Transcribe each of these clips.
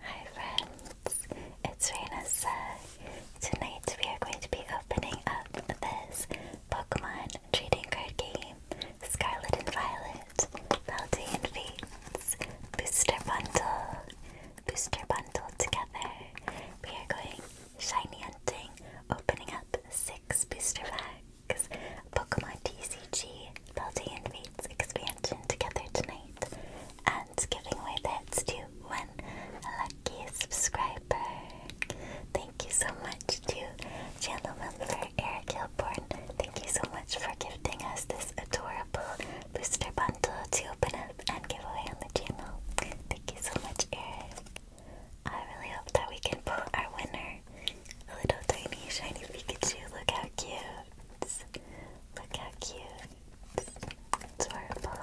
Hi friends, it's Renasa. Tonight we are going to be opening up this Pokemon trading card game, Scarlet and Violet, Valdean Fates, Booster Bundle, Booster Bundle together. We are going shiny hunting, opening up six booster packs, Pokemon TCG, Baldi and Fate's expansion together tonight and giving away the to one lucky subscriber. Thank you so much to channel member Eric Hilborn. Thank you so much for giving us this adorable booster bundle to open up and give away on the channel. Thank you so much, Eric. I really hope that we can pull our winner. A little tiny shiny Pikachu, look how cute. Look how cute. Adorable.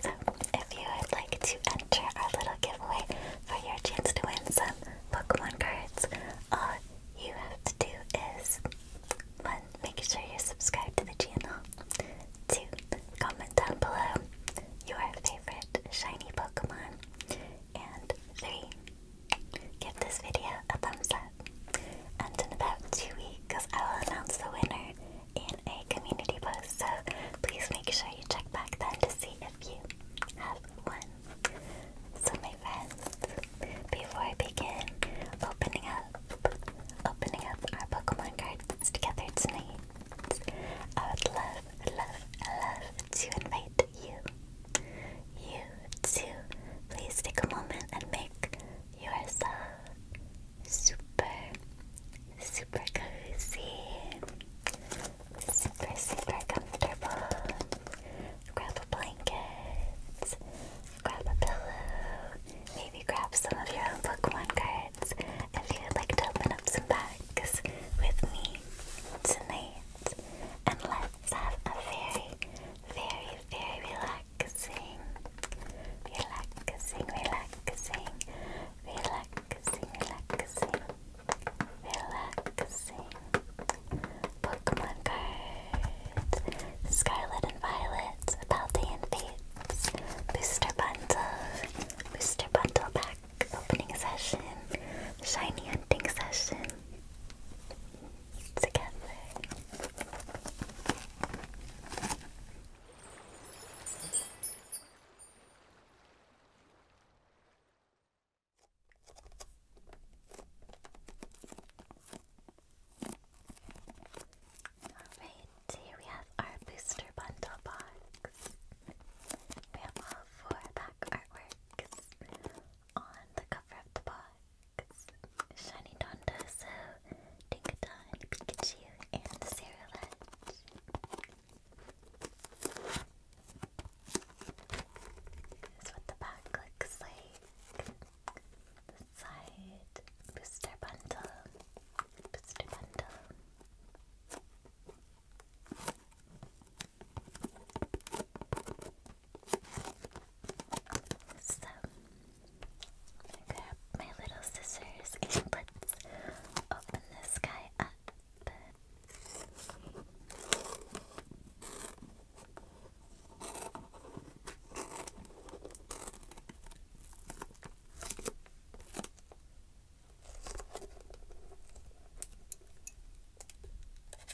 So, if you would like to enter our little giveaway for your chance to win some Pokemon cards, all you have to do is 1. Make sure you're subscribed to the channel. 2. Comment down below your favorite shiny Pokemon. And 3. Give this video a thumbs up, and in about two weeks, I will announce the winner in a community post. So please make sure you check back then to see if you have one. So, my friends, before I begin opening up, opening up our Pokemon cards together tonight, I would love, love, love to invite you you too. please take a moment and make yourself super, super cozy, super, super comfortable. Grab a blanket, grab a pillow, maybe grab some of your own one cards if you would like to open up some bags with me tonight. And let's have a very very, very relaxing. Relaxing, relaxing, relaxing, relaxing, Pokemon cards, Scarlet and Violet, Paldi and Fates, Booster Bundle, Booster Bundle Pack, Opening Session, Shiny Hunting Session together. Alright, here we have our booster bundle box. We have all four back artworks on the cover of the box. Shiny Donda, so Dinkadon, Pikachu, and Saralette. This is what the back looks like. The side booster bundle. Booster bundle. So I grab my little scissors and let's open this guy up.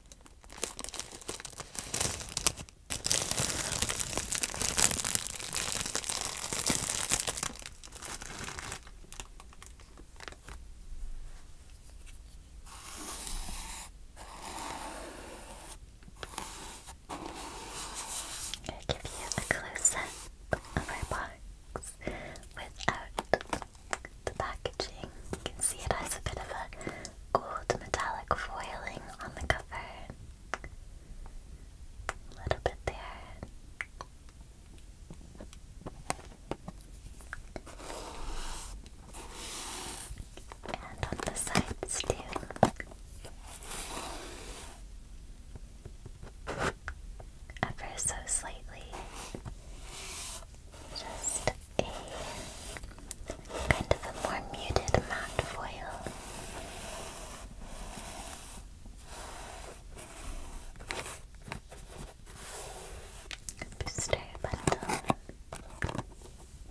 i give you a close up of our box without the packaging. You can see it has a bit of a gold metallic foiling on the cover. A little bit there. And on the sides too. Ever so slightly just a kind of a more muted matte foil. Booster bundle.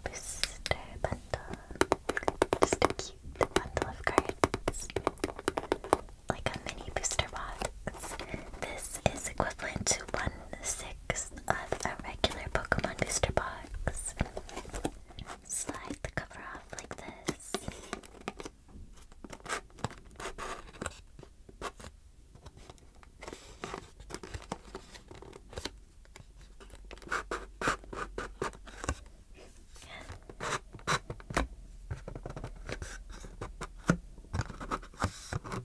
Booster bundle. Just a cute bundle of cards. Like a mini booster box. This is equivalent to one the six of a regular Pokemon booster box. Slide the cover off like this.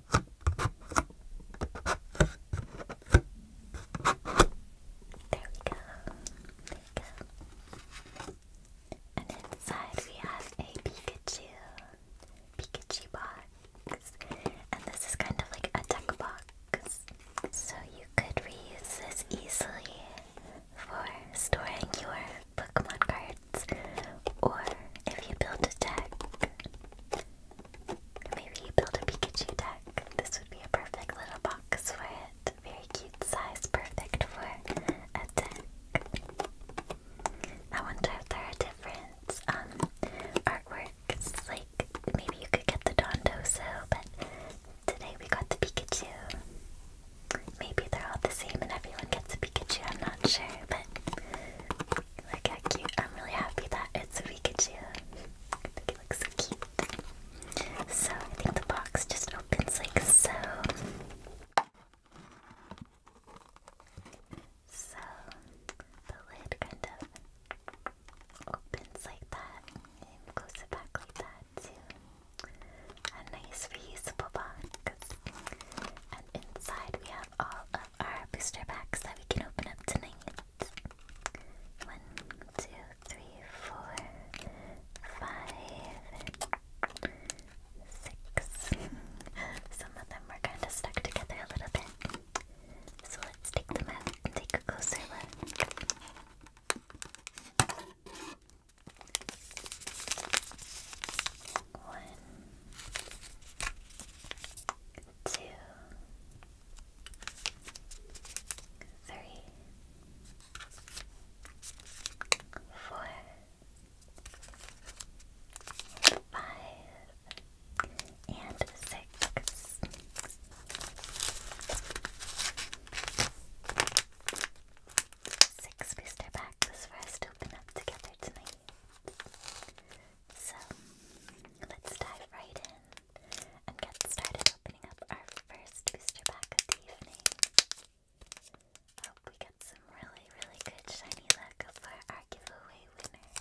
There we go. There we go. And inside we have a Pikachu. Pikachu box. And this is kind of like a deck box. So you could reuse this easily for storing your Pokemon cards. Or if you build a deck, Maybe build a Pikachu deck. This would be a perfect little box for it. Very cute size, perfect for a deck. I wonder if there are different um, artworks. Like maybe you could get the Dondoso, but today we got the Pikachu. Maybe they're all the same and everyone gets a Pikachu, I'm not sure, but Look how cute. I'm really happy that it's a Pikachu. I think it looks cute. So I think the box just opens like so. So the lid kind of opens like that and close back like that to a nice reusable box. And inside we have all of our booster packs that we can open up tonight. One, two, three, four, five, six. Some of them are kind of stuck together a little bit. So let's take them out and take a closer look. One, two, three, four, five, and six. Six booster packs for us to open up together tonight. So let's dive right in and get started opening up our first booster pack of the evening. Hope we get some really, really good shiny luck for our giveaway winner.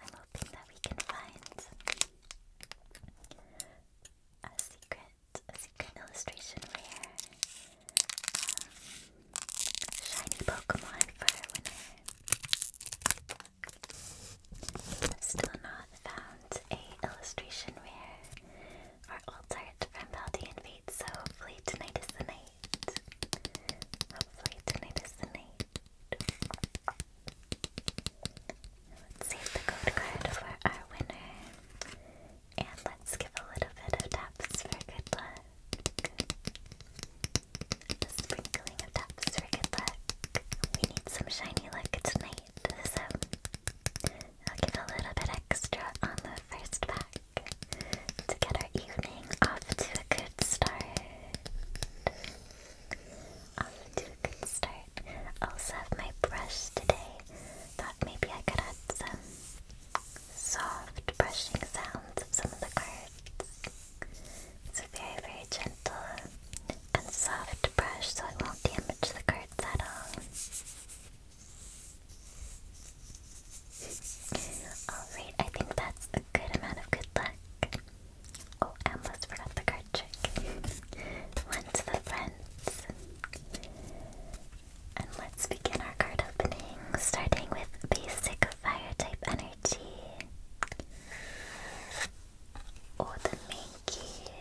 I'm hoping that we can find a secret, a secret illustration rare. Um, Shiny Pokemon for our winner. Still not found a illustration rare or alt from Paldean Fates, so hopefully tonight is the night. Hopefully tonight is the night. Let's save the code card for our winner. And let's give a little bit of taps for good luck. The sprinkling of taps for good We need some shiny luck tonight, so I'll give a little bit extra on the first pack to get our evening off to a good start. Off to a good start. I also have my brush today. Thought maybe I could add some soft brushing sounds of some of the cards. It's a very, very gentle and soft brush, so it won't damage the cards at all. Alright, I think that's a good amount of good luck. Oh, I almost forgot the card trick. One to the friends. And let's begin our card opening, starting with basic fire type energy energy or the monkey,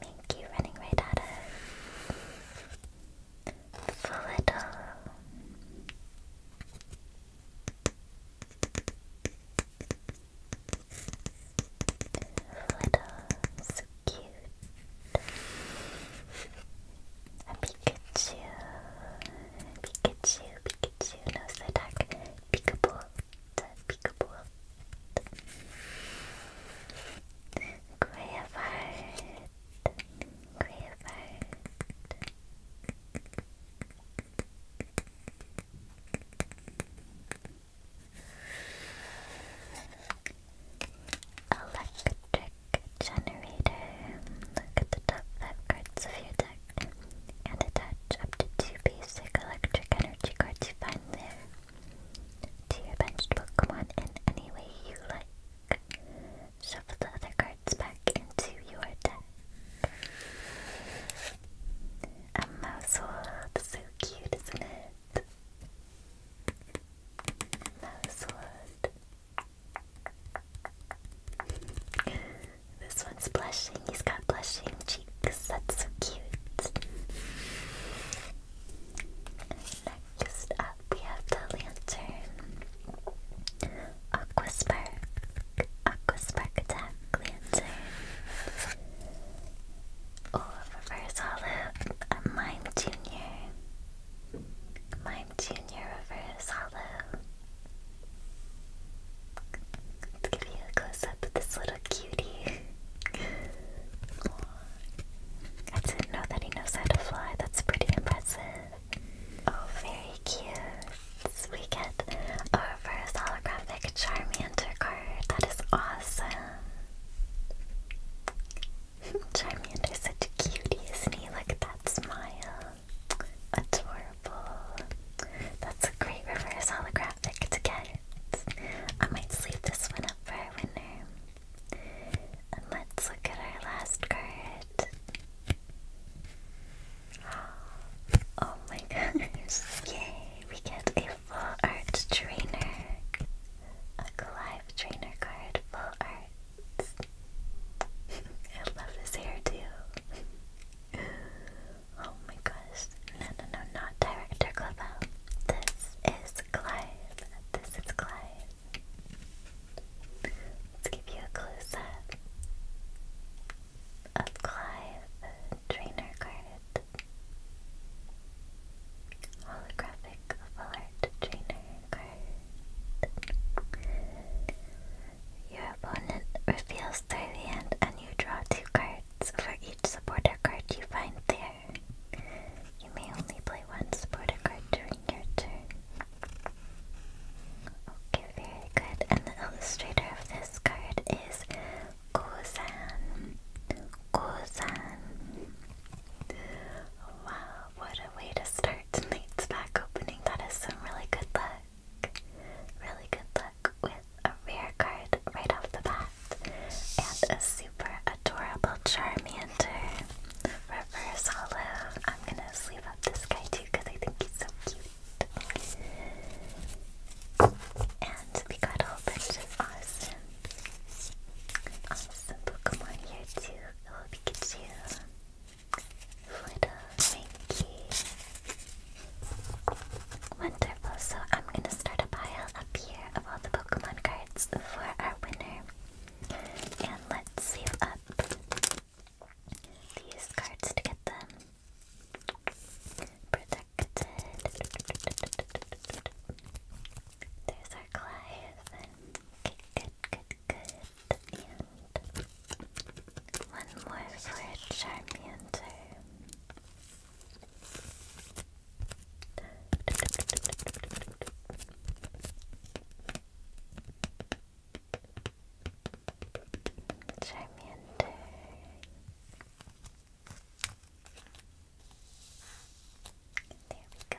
minky running right at us volatile volatile so cute Pikachu, Pikachu, Pikachu, no Psyduck, Peekabolt, Peekabolt, Graveheart, Graveheart, Electric generator. Look at the top five cards of your deck and attach up to two basic electric energy cards you find there to your benched Pokemon in any way you like. Shuffle the other cards back into your deck. A mouse so cute, isn't it? Mouse this one's blushing. He's got blushing cheeks. That's so cute. Next up, we have the lantern. Aqua Spark. Aqua Lantern. reverse hollow. Mime Junior. Mime Junior reverse hollow. Let's give you a close up of this little cutie. I didn't know that he knows how to fly. That's pretty impressive. Oh, very cute. We get our first holographic Charmander card. That is awesome. Charmander's such a cutie, Look at that smile. Adorable. That's a great reverse holographic to get. I might sleep this one up for a winner. And let's look at our last card. Oh my gosh. Yay! We get a full art trainer. A Clive trainer card, full art. I love his hairdo. oh my gosh. No, no, no, not Director Clavel. This is Clive. This is Clive. Let's give you a close up of Clive, trainer card. Holographic full trainer card. Your opponent reveals their hand and you draw two cards for each supporter card you find there. You may only play one supporter card during your turn. Okay, very good. And the illustrator of this card is Gozan. Gozan. Wow, what a way to start heart leads opening. That is some really good luck. Really good luck with a rare card right off the bat. And a super adorable Charmander. Reverse hollow. I'm gonna sleeve up this guy too because I think he's so cute. And we got a bunch of awesome, awesome Pokemon here too. Little Pikachu, thank you. Wonderful. So I'm gonna start a pile up here of all the Pokemon cards for our winner. And let's save up these cards to get them protected. There's our Clive. good, good, good and one more for Charmander. Charmander. There we go.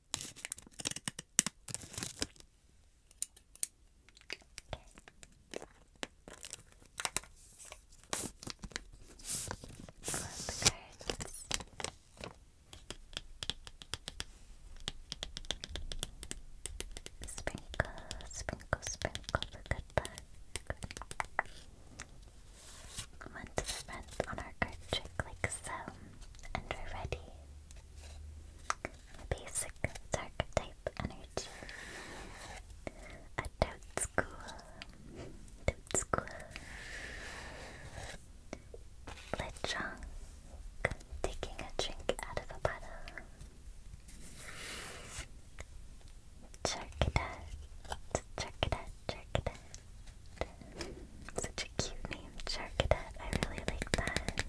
Sprinkle, sprinkle, sprinkle the good luck. One to the on our card trick like so, and we're ready basic archetype energy. A toad school. Toad school. Lechonk, taking a drink out of a bottle. Charcadet, charcadet, charcadet. Such cute name, Charcadet. I really like that.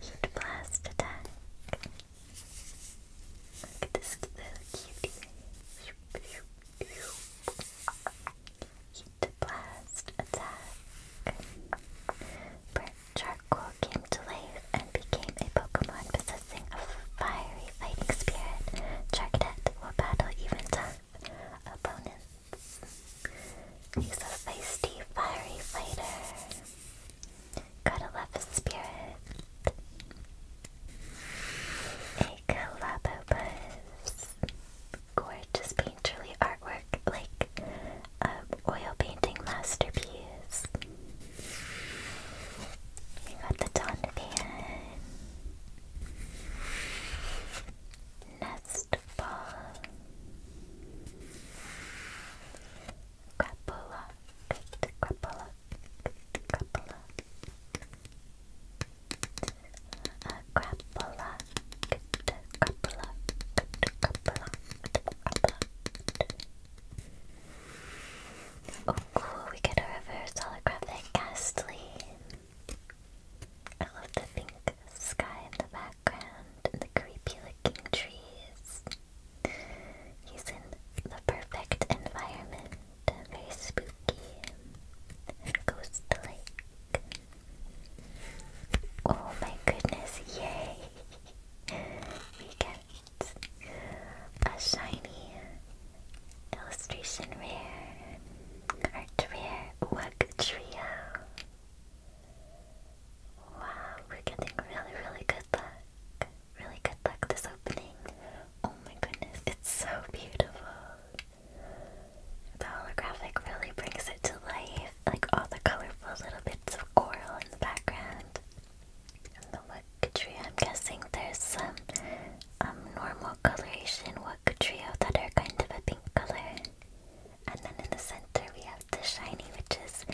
Heat blast attack. Look at this little cutie. Heat blast attack. charcoal came to life and became a Pokemon possessing a fiery fighting spirit. Charcadet will battle even tough opponents. He's a feisty, fiery fighter. got a love his spirit. A Calabobus. Gorgeous painterly artwork, like an um, oil painting masterpiece. We got the Donovan. Nest Fast ball. Crapola. Crapola. Crapola. A crapola. Crapola. Oh cool, we get a reverse holographic ghastly. I love the pink sky in the back background the creepy looking trees. He's in the perfect environment, uh, very spooky and ghost like. Oh my goodness, yay! we get a shiny illustration rare, art rare, Wug Trio. Wow, we're getting really, really good luck. Really good luck this opening. Oh my goodness, it's so beautiful. The holographic really brings it to life. Like all the colorful little bits of coral in the background. And the Wook tree. I'm guessing there's some um, normal coloration Wook trio that are kind of a pink color. And then in the center we have the shiny, which is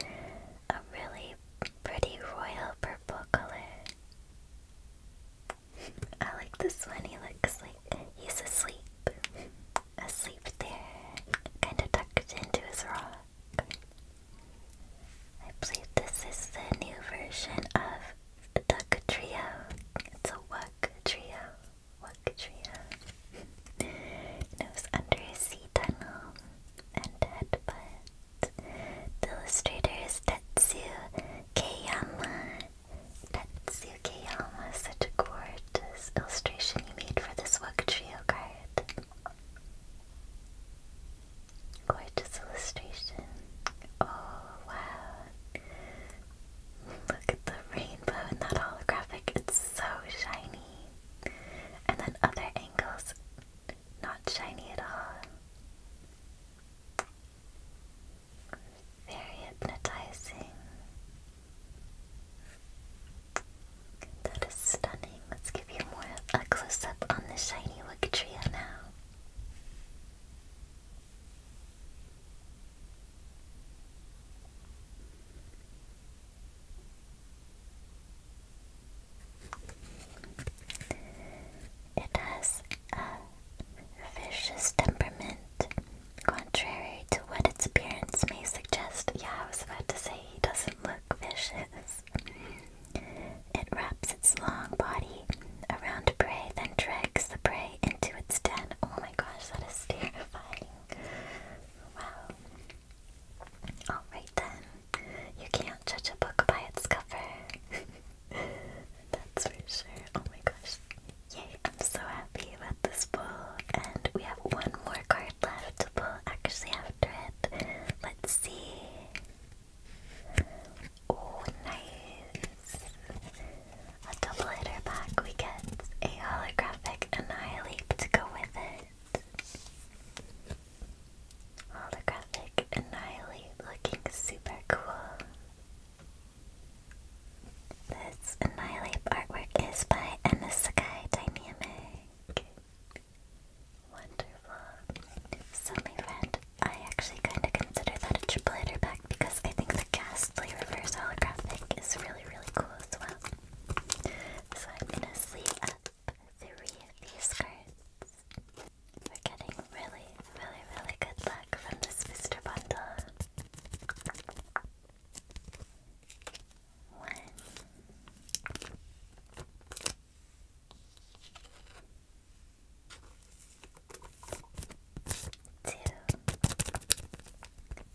a really pretty royal purple color. I like this one, he looks like he's asleep. Asleep there, kind of tucked into his rock. I believe this is the new version of Duck Trio. It's a Wuck Trio. Waktria. Nose under a sea tunnel and headbutt. The illustrator is Tetsu Kayama. Tetsu Kayama, such a gorgeous illustration you made for this Waktrio card. Gorgeous illustration. Oh wow. Look at the rainbow in that holographic, it's so shiny. And then other angles, not shiny at all. Very hypnotizing. That is stunning. Let's give you more a close up on the shiny Wigatria now. It has a vicious temperament, contrary to what its appearance may suggest. Yeah, I was about to say he doesn't look vicious. It wraps its long body around prey, then drags the prey into its den. Oh my gosh, that is terrifying. Well, alright then. You can't judge a book by its cover. That's for sure. Oh my gosh. Yay, I'm so happy with this pull. And we have one more card left to pull actually after it. Let's see. Oh, nice a double hitter pack, we get a holographic annihilate to go with it. Holographic annihilate looking super cool. This annihilate artwork is by Enisakai Dynamic. Wonderful. So my friend, I actually kind of consider that a triple hitter pack because I think the ghastly reverse holographic is really, really cool as well. So I'm gonna sleeve up three of these skirts. We're getting really, really, really good luck from this booster bundle. One. Two,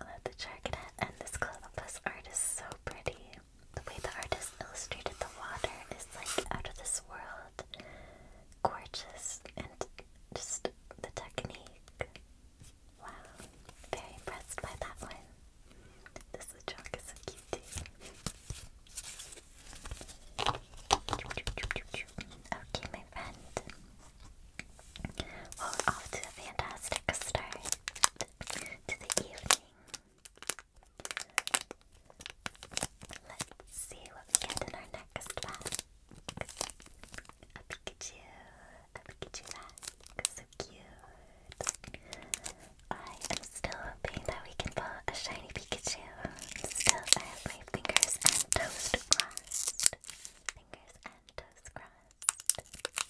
love the Charcadet and this Clothopus art is so pretty. The way the artist illustrated the water is like out of this world. Gorgeous and just the technique. Wow. Very impressed by that one. This chalk is so cute too. Okay, my friend. Well, off to a fantastic start to the evening. Let's see what we get in our next pack. A Pikachu, a Pikachu pack, so cute. I am still hoping that we can pull a shiny Pikachu. Still, I have my fingers and toes crossed. Fingers and toes crossed.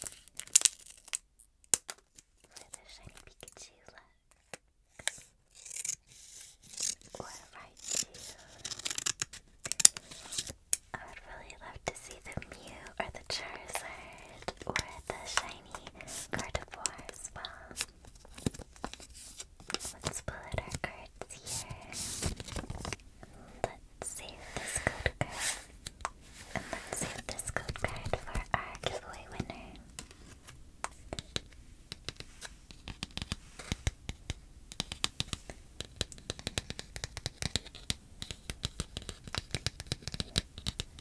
For the shiny Pikachu look. Or Raichu. I would really love to see the Mew or the Charizard or the shiny Gardevoir as well. Let's pull our cards here. Let's save this code card. And let's save this code card for our giveaway winner.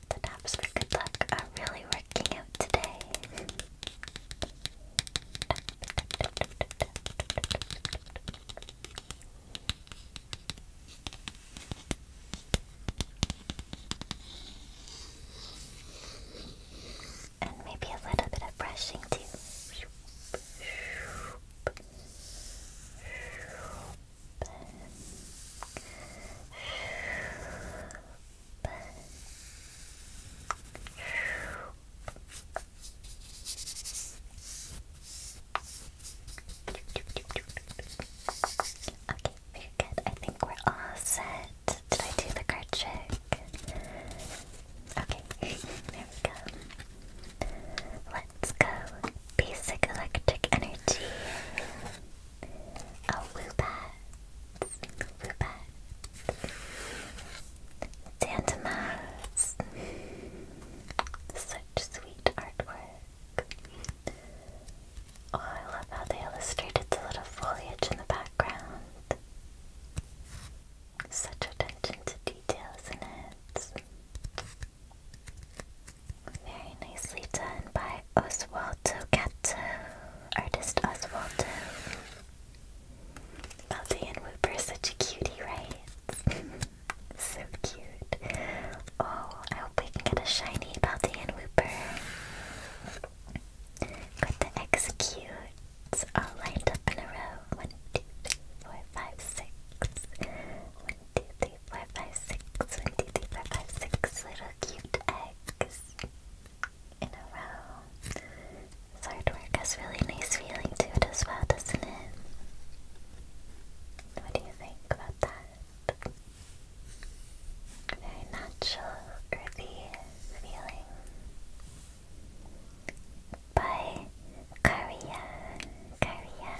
The taps for good luck are really working out today. And maybe a little bit of brushing too. Okay, very good. I think we're all set. Did I do the card trick? Okay, there we go. Let's go. Basic electric energy. Oh, Woobat. Woobat. Tantamas. Such sweet artwork. Oh, I love how they illustrated the little foliage in the background. Such attention to detail, is it? Very nicely done by Oswaldo Gatto, artist Oswaldo. Elsie oh, and Whoop are such a cutie, right? so cute. Oh, I hope we can get a shiny Balti and Wooper. Put the executes all lined up in a row. One, two, three, four, five, six. One, two, three, four, five, six. One, two, three, four, five, six. Little cute eggs in a row. His work has really nice feeling to as well, doesn't it? What do you think about that? Very natural, earthy feeling. By Karia. Karia.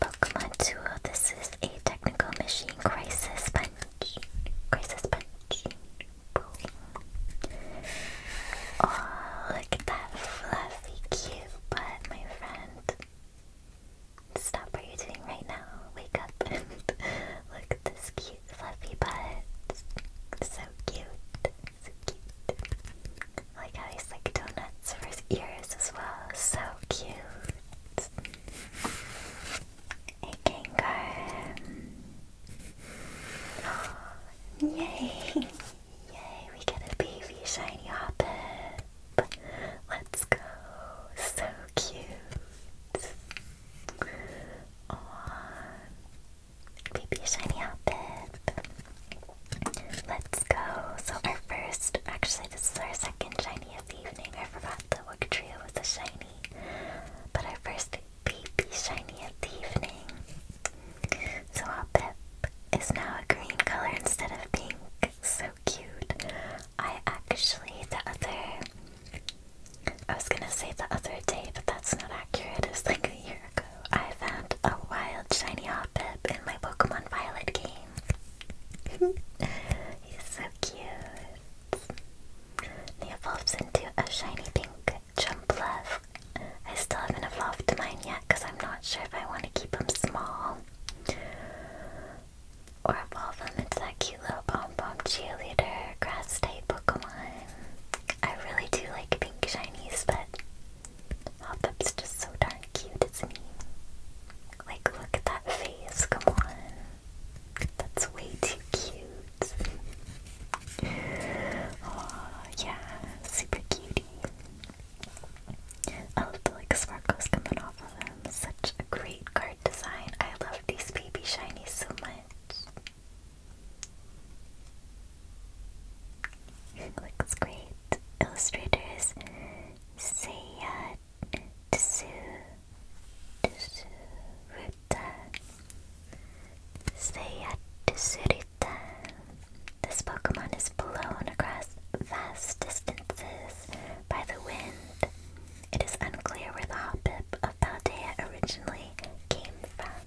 Pokemon Tool. This is a technical machine crisis punch punch, crisis punch. Oh, look at that fluffy cute butt, my friend. Stop what you're doing right now. Wake up and look at this cute fluffy butt. So cute. So cute. like how he's like donuts for his ears as well. So cute. It can go. yay! Yay, we get a baby shiny Hoppip! Let's go! So cute! Aww. Baby shiny Hoppip! Let's go! So, our first, actually, this is our second shiny of the evening. I forgot the Wook Trio was a shiny. But our first baby shiny of the evening. So our Pip is now a green color instead of pink. So cute. I actually, the other, I was gonna say the other day, but that's not accurate. It like a year ago. I found a wild shiny Hoppip in my Pokemon Violet game. He's so cute. It evolves into a shiny pink Jumpluff. I still haven't evolved mine yet because I'm not sure if I want to keep them small or evolve them into that cute little pom pom cheerleader grass type Pokemon. I really do like pink shinies, but Hoppup's just so darn cute, isn't he? Like, look at that face, come on. That's way too cute. Oh yeah, super cutie. I love the like sparkles coming off of them. Such a great card design. I love these baby shinies so much. Looks great. Illustrators Seiya uh, this Pokemon is blown across vast distances by the wind. It is unclear where the Hoppip of Paldea originally came from.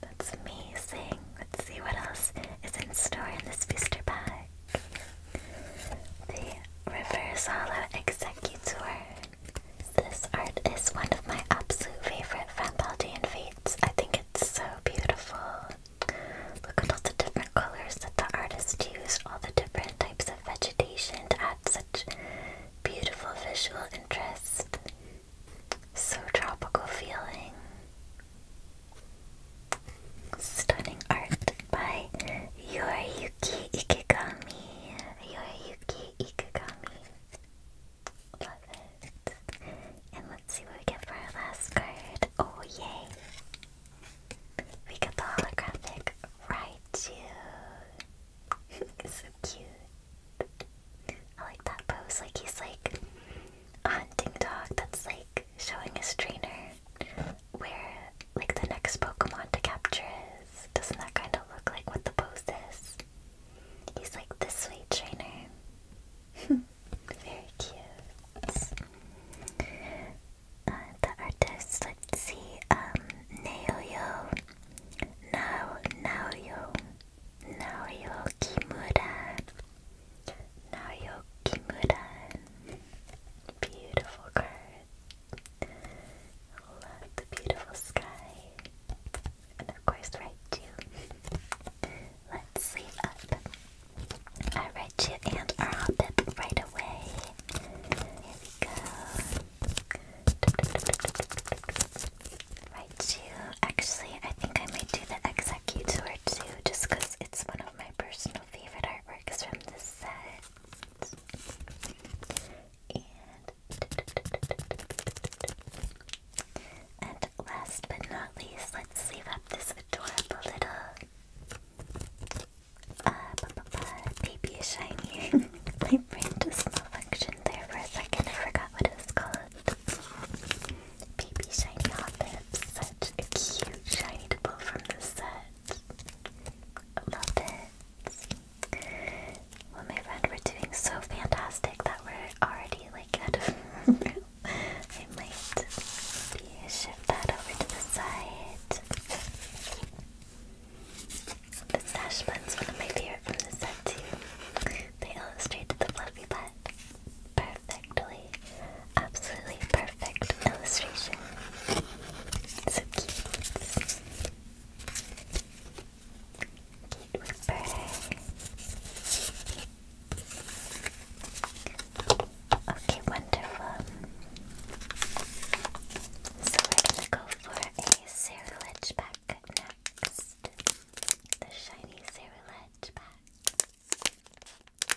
That's amazing. Let's see what else is in store in this booster pack. The River Swallow Executor. This art is one of my absolute favorite Fanbaldian fates. I think it's so beautiful. Look at all the different colors that the artist used, all the different types of vegetation to add such beautiful visual interest. So tropical feeling. Stunning art by Yoriyuki Ikigami. Yoriyuki Ikigami. Love it. And let's see what we get for our last card. Oh, yay! We got the holographic Raichu. so cute. I like that pose. Like he's like a hunting dog that's like showing his trainer where like the next Pokemon to capture is. Doesn't that kind of look like what the pose is? He's like the sweet trainer. Very cute. Uh, the artist, let's see, um, Naoyo, Nao, Naoyo, Naoyo Kimura, Naoyo Kimura. Beautiful card. Love the beautiful sky. And of course, Raichu. Let's sleep up. Our Raichu and our Hoppip right away. Here we go. Raichu. Actually, I think I might do the Executor too, just it's one of my personal favorite artworks from this set. And, last but not least, let's sleeve up this adorable little uh, baby shiny. My brain just malfunctioned there for a second. I forgot what it was called. Baby shiny hot Such a cute shiny to from the set. I love it. Well, my friend, we're doing so fantastic that we're already like out of I might shift that over to the side. The sash bun's one of my favorite from the set too. They illustrated the fluffy butt perfectly, absolutely perfect perfect illustration. So cute. Cute whipper. Okay, wonderful. So we're gonna go for a cerulege back next. The shiny cerulege back.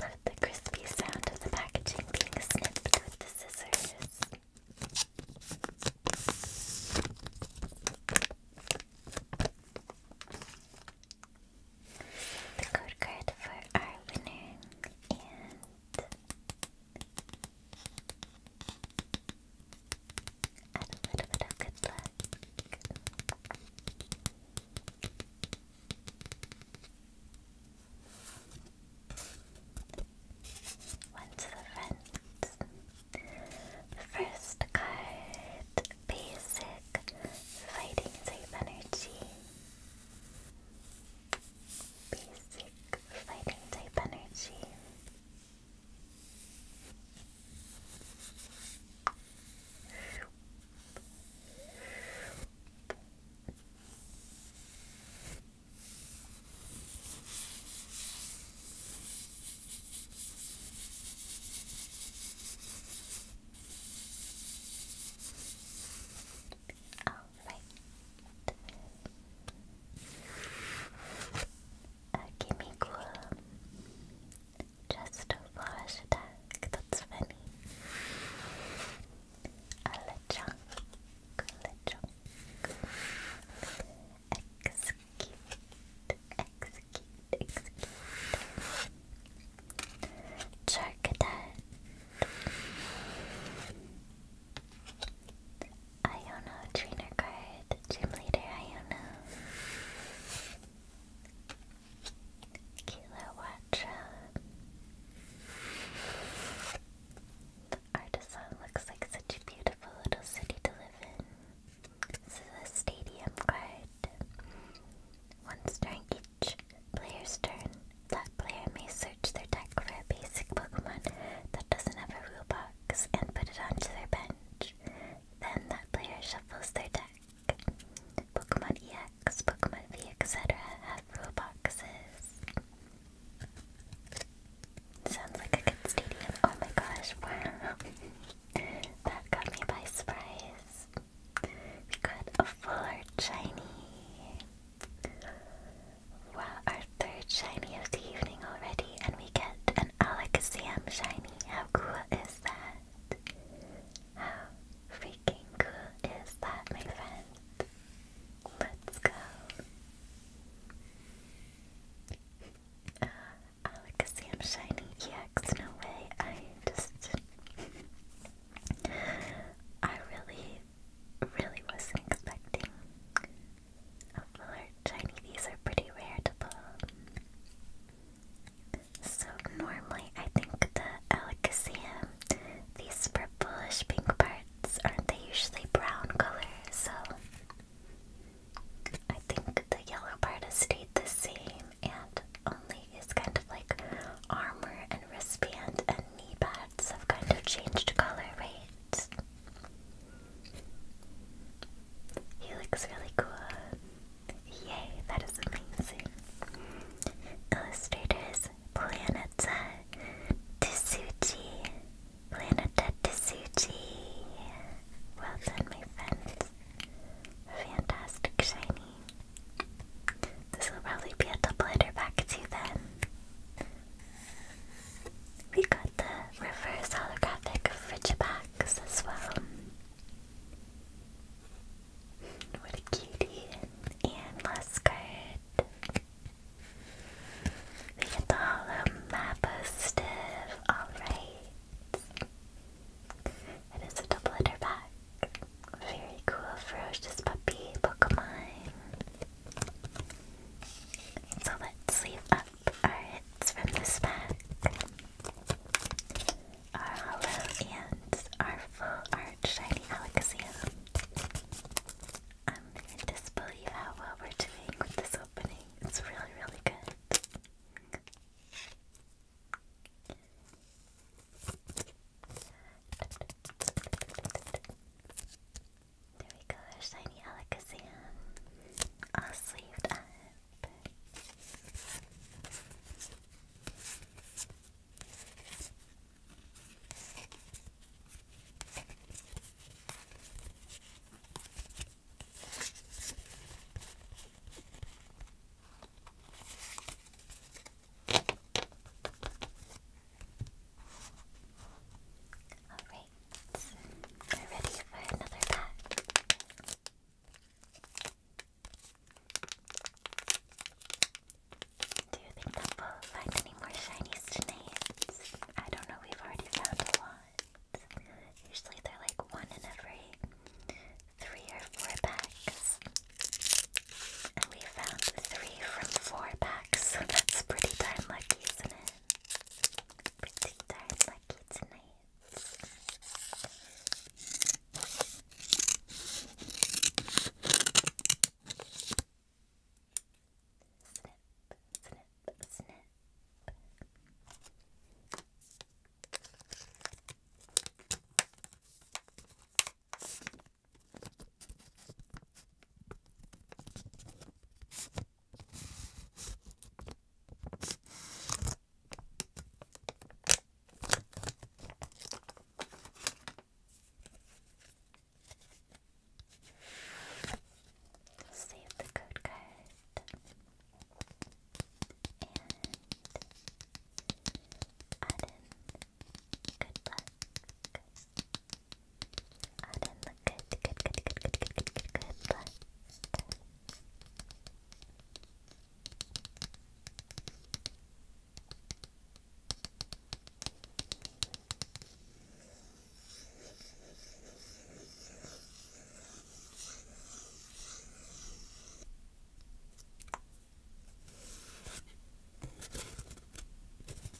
Love the crispy sound of the packaging being snipped with the scissors. The code card for our winner and a little bit of good luck. One to the front. First card, basic fighting type energy. Basic fighting type energy. Alright. Uh, Kimiko just a wash attack, that's funny. A lechonk, lechonk. X execute, execute. Charcadet. Iono trainer card. Gym leader Iono. Kilowatra. The artisan looks like such a beautiful little city to live in. This is a stadium card. Once during each player's turn, that player may search their deck for a basic Pokemon that doesn't have a rule box and put it onto their bench. Then that player shuffles their deck. Pokemon EX, Pokemon V, etc. have rule boxes. Sounds like a good stadium. Oh my gosh, wow. That got me by surprise. We got a fuller shiny. Wow, our third shiny of the evening already, and we get an Alakazam shiny. How cool is that? How freaking cool is that, my friend? Let's go. Alex Sam Shiny EX, no way. I just. I really, really wasn't expecting a full shiny. These are pretty rare to pull. So, normally, I think the Alakazam, these purplish pink parts, aren't they usually brown color? So, I think the yellow part stayed the same and only is kind of like armor and wristband and knee pads have kind of changed color, right? He looks really cool. Yay, that is amazing. Illustrators Planeta Tsuchi. Planeta Tsuchi. Well done, my friend. Fantastic shiny. This will probably be a double header back then. We got the reverse holographic Frigibax as well. What a And last We get the hollow Mapo Stiv. It is a double header pack. Very cool, ferocious puppy Pokemon. So let's sleeve up our hits from this pack. Our hollow and our full art shiny Alexion. I'm in disbelief how well we're doing with this opening. It's really, really good. There we go, our shiny Alakazam, all sleeved up. Alright, we're ready for another pack. Do you think we'll find any more shinies tonight? I don't know, we've already found a lot. Usually they're like one in every three or four packs. And we found three from four packs, that's pretty darn lucky, isn't it? Pretty darn lucky tonight snip, snip. Save the code card good luck. Adam, good, good, good, good, good, good, good, good, good luck. Good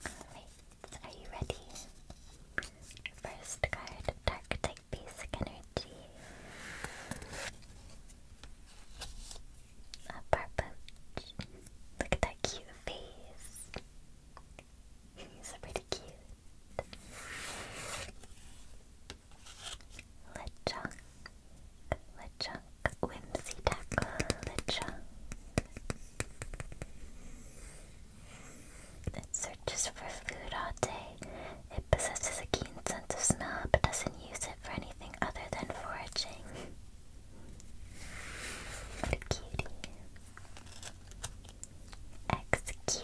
Alright, are you ready? First card, Dark Type Basic Energy. A Barbooch. Look at that cute face. He's pretty cute. Lechunk, Lechunk, Whimsy Tackle, Lechunk. It searches for food all day. It possesses a keen sense of smell but doesn't use it for anything other than foraging. What a X cute,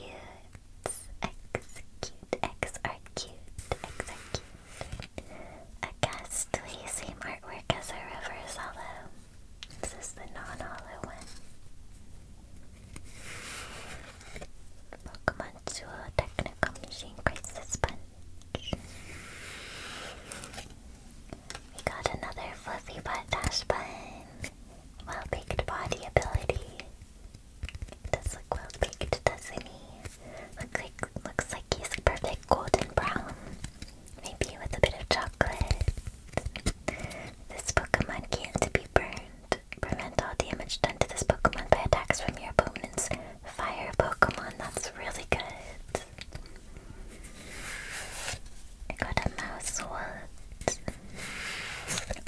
X cute, X are cute, X are cute. A ghastly, same artwork as a reverse hollow. This is the non-hollow one. Pokemon Duo Technical Machine Crisis Punch. We got another Fluffy Butt Dash Bun. Well-baked body ability does look well baked, doesn't he? Look like, looks like he's perfect golden brown. Maybe with a bit of chocolate. This Pokemon can't be burned. Prevent all damage done to this Pokemon by attacks from your opponent's fire Pokemon. That's really good. got a mouse wallet.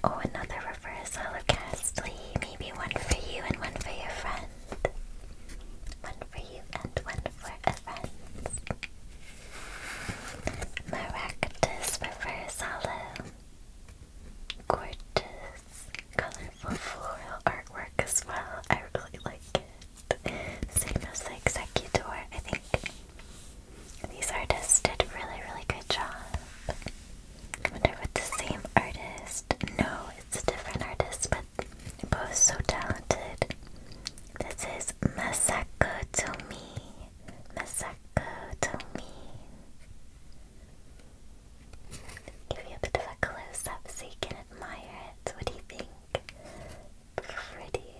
Oh, another reverse holocastly. Maybe one for you and one for your friend. One for you and one for a friend. Maractus reverse hollow. Gorgeous, colorful floral artwork as well. I really like it. Same as the executor, I think. These artists did a really, really good job. wonder if the same artist. No, it's a different artist, but both so talented. This is Masako Tomi. Masako Tomi. Give you a bit of a close up so you can admire it. What do you think? Pretty,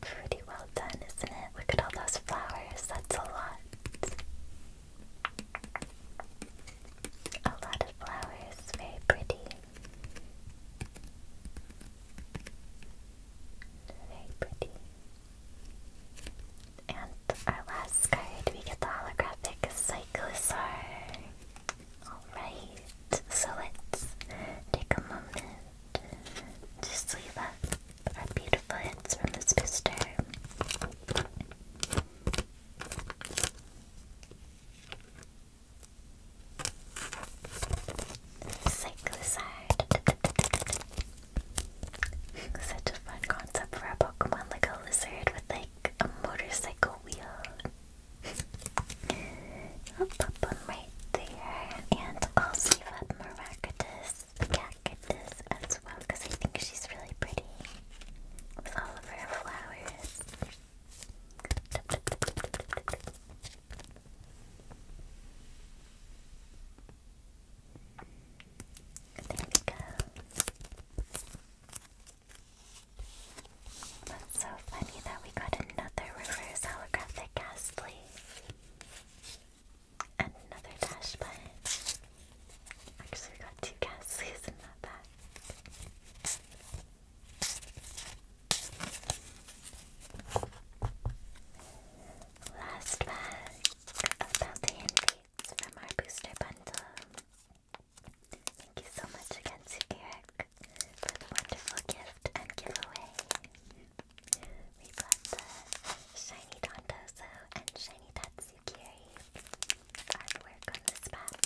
pretty well done, isn't it? Look at all those flowers. That's a lot. A lot of flowers, very pretty. Very pretty. And our last card, we get the holographic Cyclosaur. Alright, so let's take a moment to sleeve up are beautiful hits from his sister. Cyclizard. Such a fun concept for a Pokemon, like a lizard with like a motorcycle wheel. I'll pop them right there, and I'll save up Maractus cactus as well because I think she's really pretty with all of her flowers. There we go. That's so funny that we got another reverse holographic ghastly another dash button. Actually, we got two Ghastlies in that pack. Last pack about the invites from our booster bundle. Thank you so much again to for the wonderful gift and giveaway we got the shiny Dondozo and shiny Tatsukiri artwork on this pack.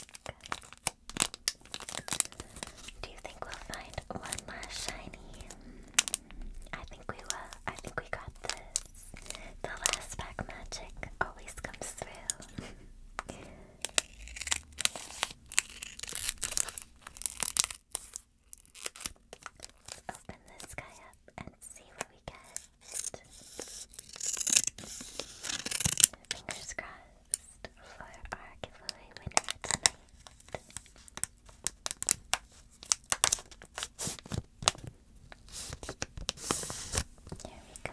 Do you think we'll find one last shiny? I think we will. I think we got this. The last pack magic always comes through. Open this guy up and see what we get. Fingers crossed for our giveaway winner tonight. There we go.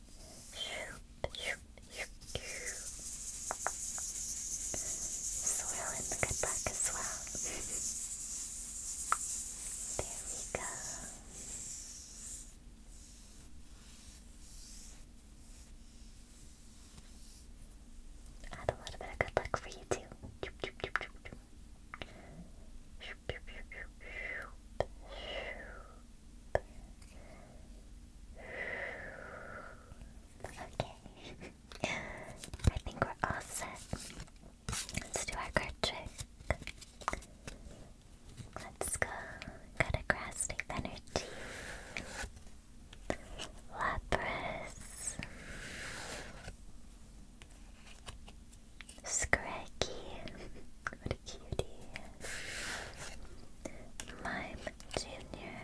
Swirl in good luck as well. there we go. Add a little bit of good luck for you too. Okay. I think we're all set. Let's do our card trick. Let's go. Got a grass energy. Lapras. Scraggy and Cutie, Mime Junior,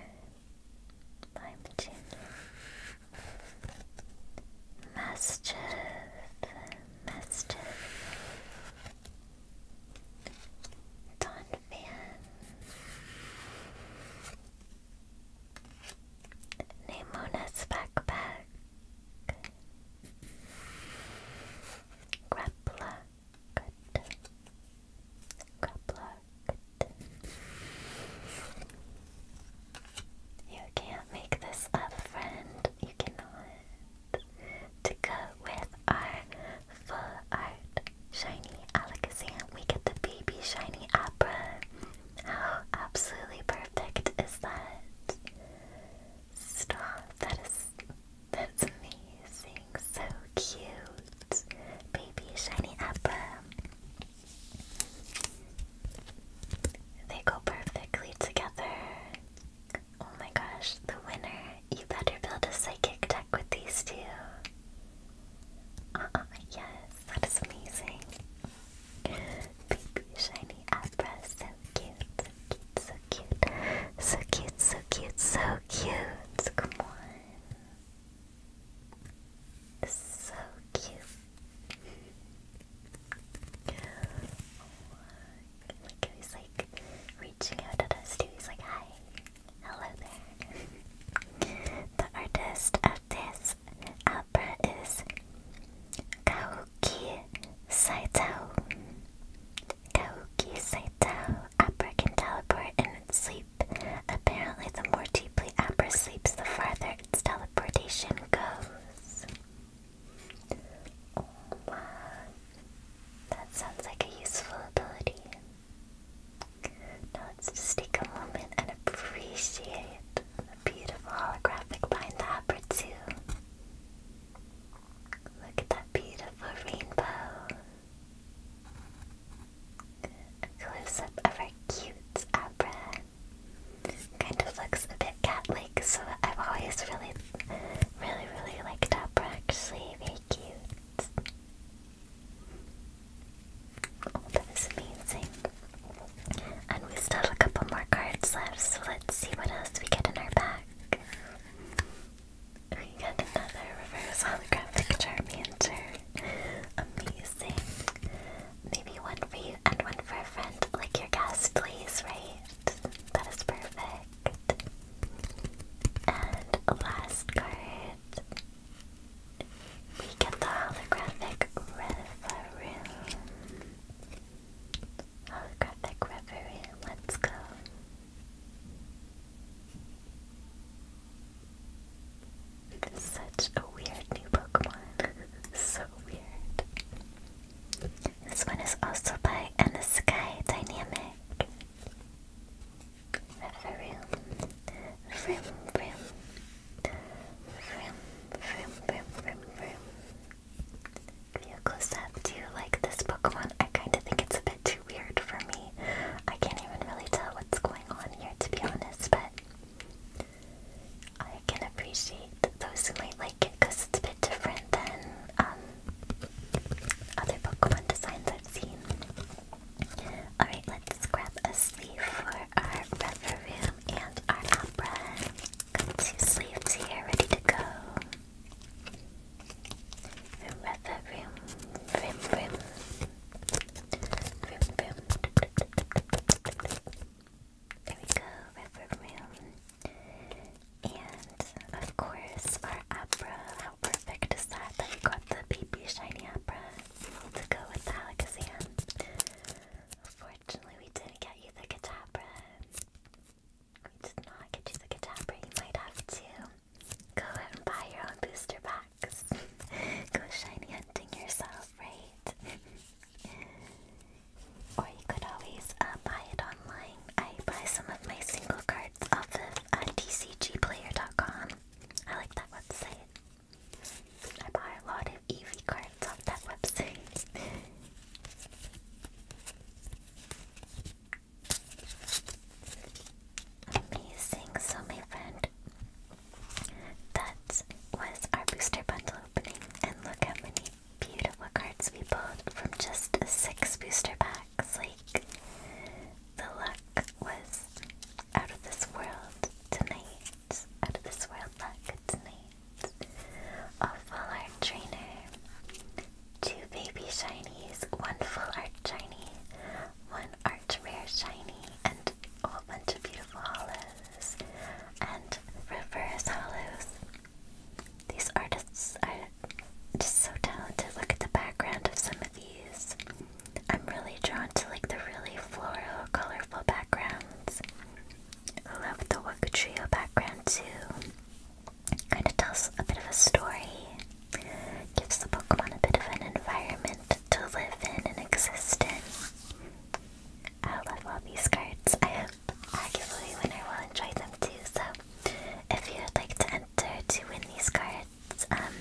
Mime Junior, Mischief, Mischief, Don Fan, Backpack, Grappla, Good. Grappler. Good. You can't make this a friend. You cannot. To go with our full art shiny Alakazam, we get the baby shiny opera. How absolutely perfect is that? Stop. That is that's amazing. So cute. Baby shiny apple. They go perfectly together. Oh my gosh, the winner. You better build a psychic deck with these two. Uh, uh, yes, that is amazing. Baby shiny Abra, so cute, so cute. So cute, so cute, so cute. Come on. So cute. Like he was like reaching out at us too. He's like, hi. Hello there. the artist of this opera is Kaoki Saito. Kaoki Saito. Abra can teleport in sleep. Apparently, the more deeply Abra sleeps, the farther its teleportation goes. Oh, wow. That sounds like a useful ability. Now let's take a moment and appreciate the beautiful holographic line the Abra 2. Look at that beautiful rainbow. A close up of our cute Abra. Kind of looks a bit cat like, so I've always really, really, really liked Abra actually. Very cute. Oh, that is amazing. And we still have a couple more cards left, so let's see what else we get in our pack. We got another reverse holographic Charmander. Amazing. Maybe one for you and one for a friend, like your guest, please, right? That is perfect. And last card. We get the holographic Reverum. Holographic Reverum, let's go such a weird new Pokemon. so weird. This one is also by Anna Sky Dynamic. Vroom, vroom, vroom. Vroom, vroom, vroom, vroom, vroom. you close up, do you like this Pokemon? I kind of think it's a bit weird for me. I can't even really tell what's going on here, to be honest, but I can appreciate those who might like it because it's a bit different than um, other Pokemon designs I've seen. Alright, let's grab a sleeve for our Reverie Room and our Opera. Got two sleeves here ready to go. Rather rim, rim, rim, rim, rim. There we go, river room. And of course, our opera. How perfect is that? we got the baby shiny opera to go with the Alakazam. Unfortunately, we didn't get you the Kadabra. It's not like a Kadabra. You might have to go out and buy your own booster packs. go shiny hunting yourself, right? or you could always uh, buy it online. I buy some of my single cards off of uh, dcgplayer.com. I like that website. I buy a lot of Eevee cards off that website. Amazing. So, my friend, that was our booster bundle opening. And look how many beautiful cards we pulled from just six booster packs. Like, the luck was out of this world tonight. Out of this world luck tonight. Of all trainer. Two baby shinies, one full art shiny, one art rare shiny, and a whole bunch of beautiful hollows and reverse hollows. These artists are just so talented. Look at the background of some of these. I'm really drawn to like the really floral, colorful backgrounds. love the Wokutrio background too kind of tells a bit of a story, gives the Pokemon a bit of an environment to live in and exist in. I love all these cards. I hope a giveaway winner will enjoy them too. So, if you would like to enter to win these cards, um,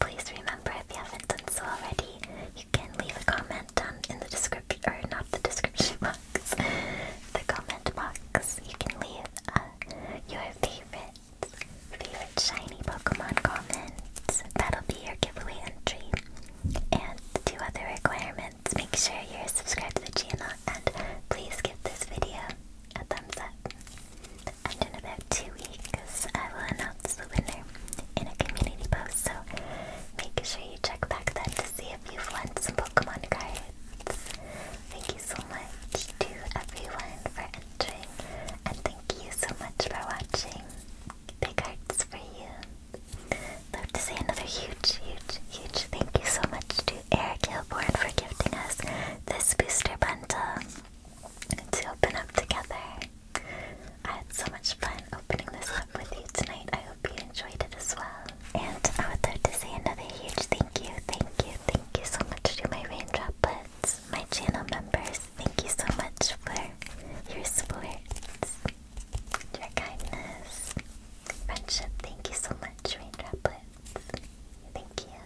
please remember if you haven't done so already, you can leave a comment down in the description, or not the description box, the comment box. You can leave uh, your favorite Favorite shiny Pokemon comments. That'll be your giveaway entry. And two other requirements. Make sure you're subscribed to the channel and please give this video a thumbs up. And in about two weeks, I will announce the winner in a community post. So make sure you check back then to see if you've won some Pokemon cards. Thank you so much to everyone for entering, and thank you so much for watching. Big hearts for you. Love to say another huge, huge, huge thank you so much to Eric Hilborn for gifting us this booster bundle to open up together. I had so much fun opening this up with you tonight. I hope you enjoyed it as well. And I would love to say another huge thank you, thank you, thank Thank you so much to my raindrop buds, my channel members. Thank you so much for your support, your kindness, friendship. Thank you so much, raindrop buds. Thank you.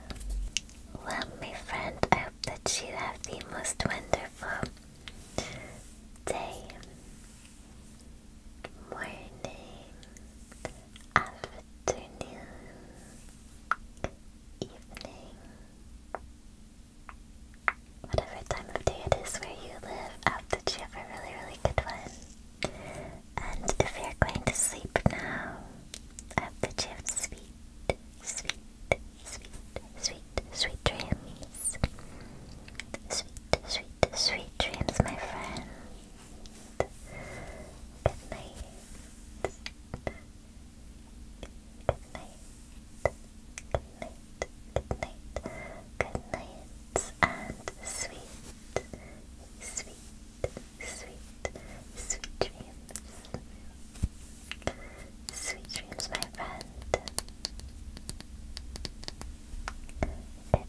Well, my friend, I hope that you have the most wonderful day, morning, afternoon afternoon, evening, whatever time of day it is where you live. I hope that you have a really, really good one. And if you're going to sleep now, I hope that you have sweet, sweet, sweet, sweet, sweet dreams. Sweet, sweet, sweet dreams, my friend. Good night. Good night. Good night. And sweet, sweet, sweet, sweet dreams. Sweet dreams, my friend. Good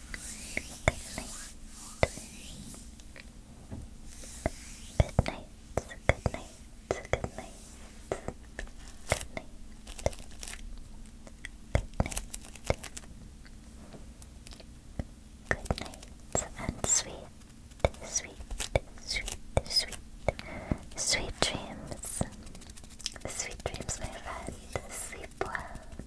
Good night. Good night. Good night. Good night. Good night. Good night. And sweet, sweet, sweet, sweet, sweet dreams. Sweet dreams, my friend. Sleep well.